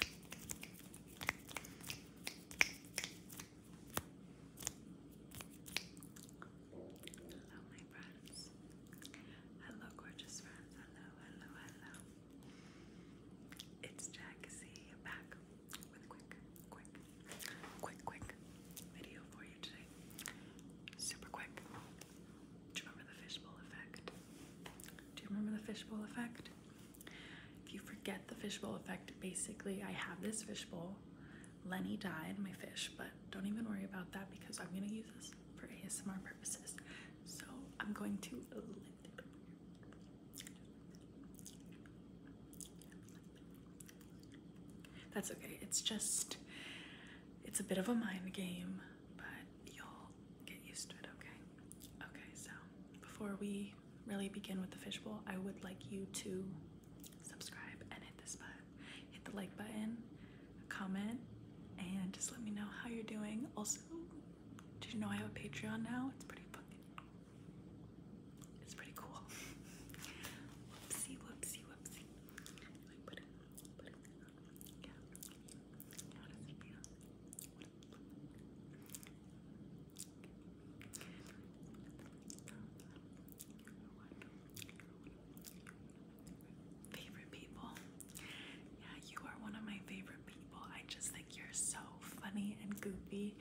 Hello, my friends. Hello, gorgeous friends. Hello, hello, hello. It's Jack back with a quick, quick, quick, quick video for you today. Super quick. Do you remember the fishbowl effect? Do you remember the fishbowl effect? If you forget the fishbowl effect, basically, I have this fishbowl. Lenny died, my fish, but don't even worry about that because I'm going to use this for ASMR purposes. So I'm going to. That's okay. It's just, it's a bit of a mind game, but you'll get used to it, okay? Okay, so before we really begin with the fishbowl, I would like you to subscribe and hit this button. Hit the like button, comment, and just let me know how you're doing. Also, did you know I have a Patreon now? It's pretty fucking it's pretty cool. whoopsie, whoopsie, whoopsie. Favorite people. Yeah, you are one of my favorite people. I just think you're so funny and goofy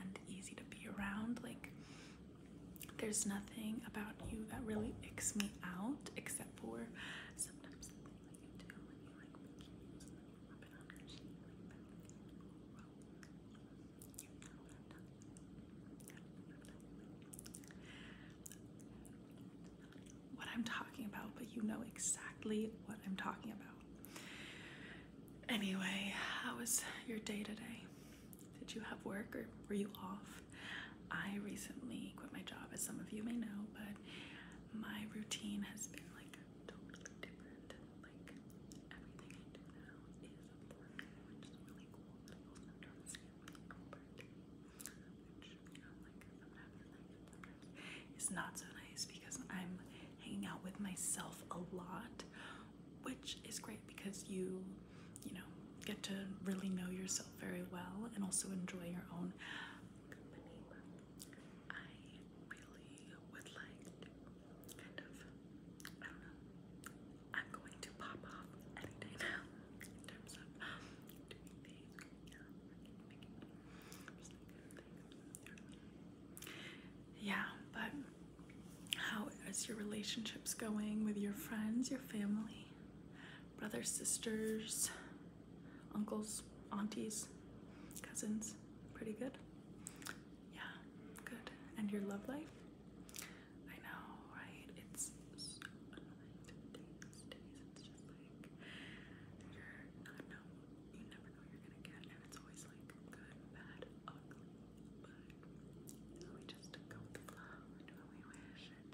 and easy to be around. Like, there's nothing about you that really icks me out except for sometimes what I'm talking about, but you know exactly what I'm talking about. Anyway, how was your day today? Did you have work or were you off? I recently quit my job, as some of you may know, but my routine has been like totally different. Like everything I do now is work, which is really cool. I also try like sometimes sometimes is not so nice because I'm hanging out with myself a lot, which is great because you you know, get to really know yourself very well and also enjoy your own company. I really would like kind of, I don't know, I'm going to pop off any day now in terms of doing things. Yeah, but how is your relationships going with your friends, your family? brothers, sisters, uncles, aunties, cousins. Pretty good. Yeah, good. And your love life? I know, right? It's so annoying days, days. It's just like you're not know. You never know you're gonna get, and it's always like good, bad, ugly. But we just go with the flow, do what we wish,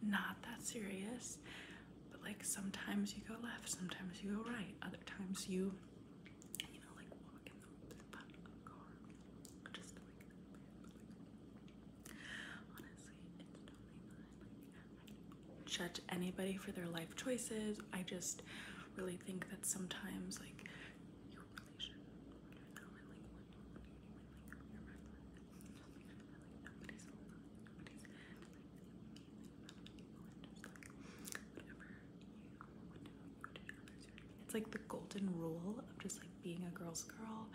Not that serious, but like sometimes you go left, sometimes you go right, other times you, you know, like judge anybody for their life choices. I just really think that sometimes, like, it's like the golden rule of just like being a girl's girl,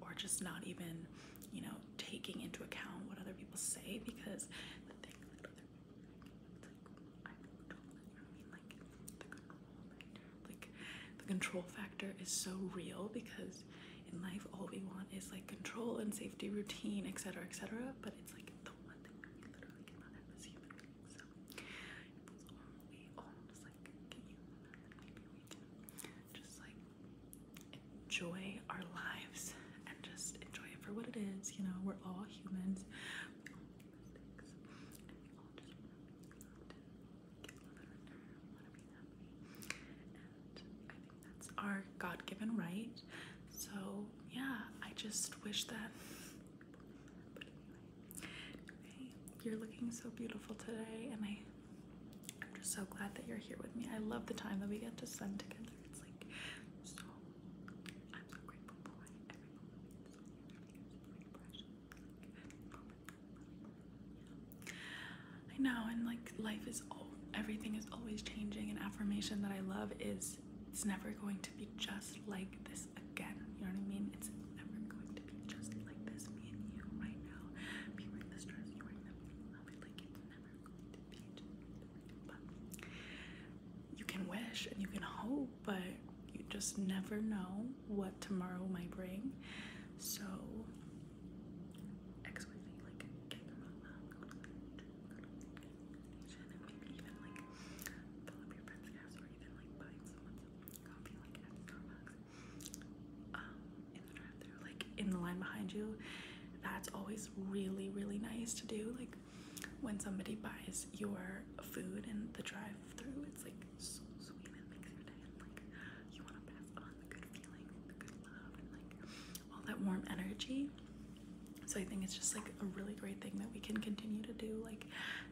or just not even, you know, taking into account what other people say because like the control factor. is so real because in life all we want is like control and safety routine, etc. etc. But it's like the one thing that we literally cannot have as human So just like enjoy our lives and just enjoy it for what it is, you know, we're all humans that's our God given right. So, yeah, I just wish that. you're looking so beautiful today, and I, I'm just so glad that you're here with me. I love the time that we get to spend together. It's like so. I'm so grateful for every moment I know, and like life is all everything is always changing. An affirmation that I love is it's never going to be just like this again. You know what I mean? It's never going to be just like this. Me and you right now, me wearing this dress, you wearing that, me love it. Like it's never going to be just. But you can wish and you can hope, but you just never know what tomorrow might bring. So, X with me, like, get your mom and maybe even like fill your friend's gas or even like buying someone's coffee, like at Starbucks, um, in the drive-thru, like in the line behind you. That's always really, really nice to do. Like, when somebody buys your food in the drive-through, it's like so sweet and makes your day. like you want to pass on the good feeling, the good love, and like all that warm energy. So I think it's just like a really great thing that we can continue to do, like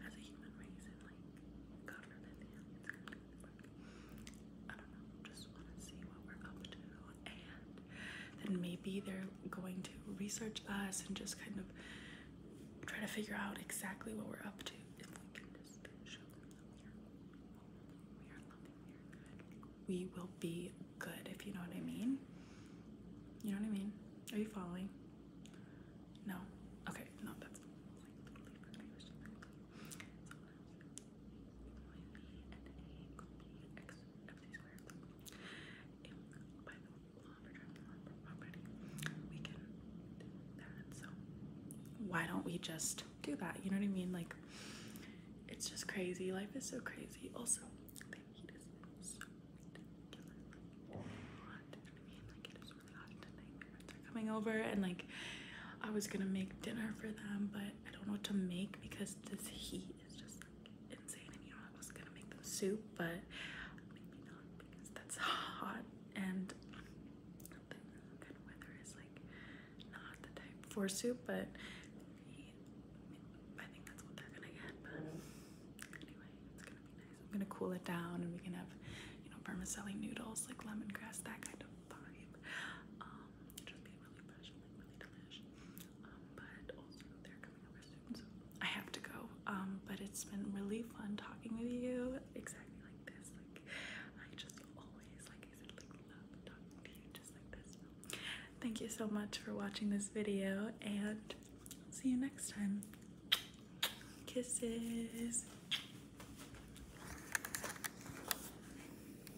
as a human race, and like God forbid, I don't know. Just want to see what we're up to and then maybe they're going to research us and just kind of try to figure out exactly what we're up to if we can just show them that we are, good. We will be good if you know what I mean. You know what I mean? Are you following? No? Okay, no, that's why don't we just do that? You know what I mean? Like it's just crazy. Life is so crazy. Also, the heat so coming over, and like I was gonna make dinner for them, but I don't know what to make because this heat he just insane and you know I was gonna make them soup but maybe not because that's hot and kind of weather is like not the type for soup but I think that's what they're gonna get but anyway it's gonna be nice. I'm gonna cool it down and we can have you know vermicelli noodles like lemongrass that kind of vibe. Um, um, I have to go. Um, but it's been really fun talking with you, exactly like this. Like I just always, like I said, love talking to you just like this. thank you so much for watching this video, and see you next time. Kisses.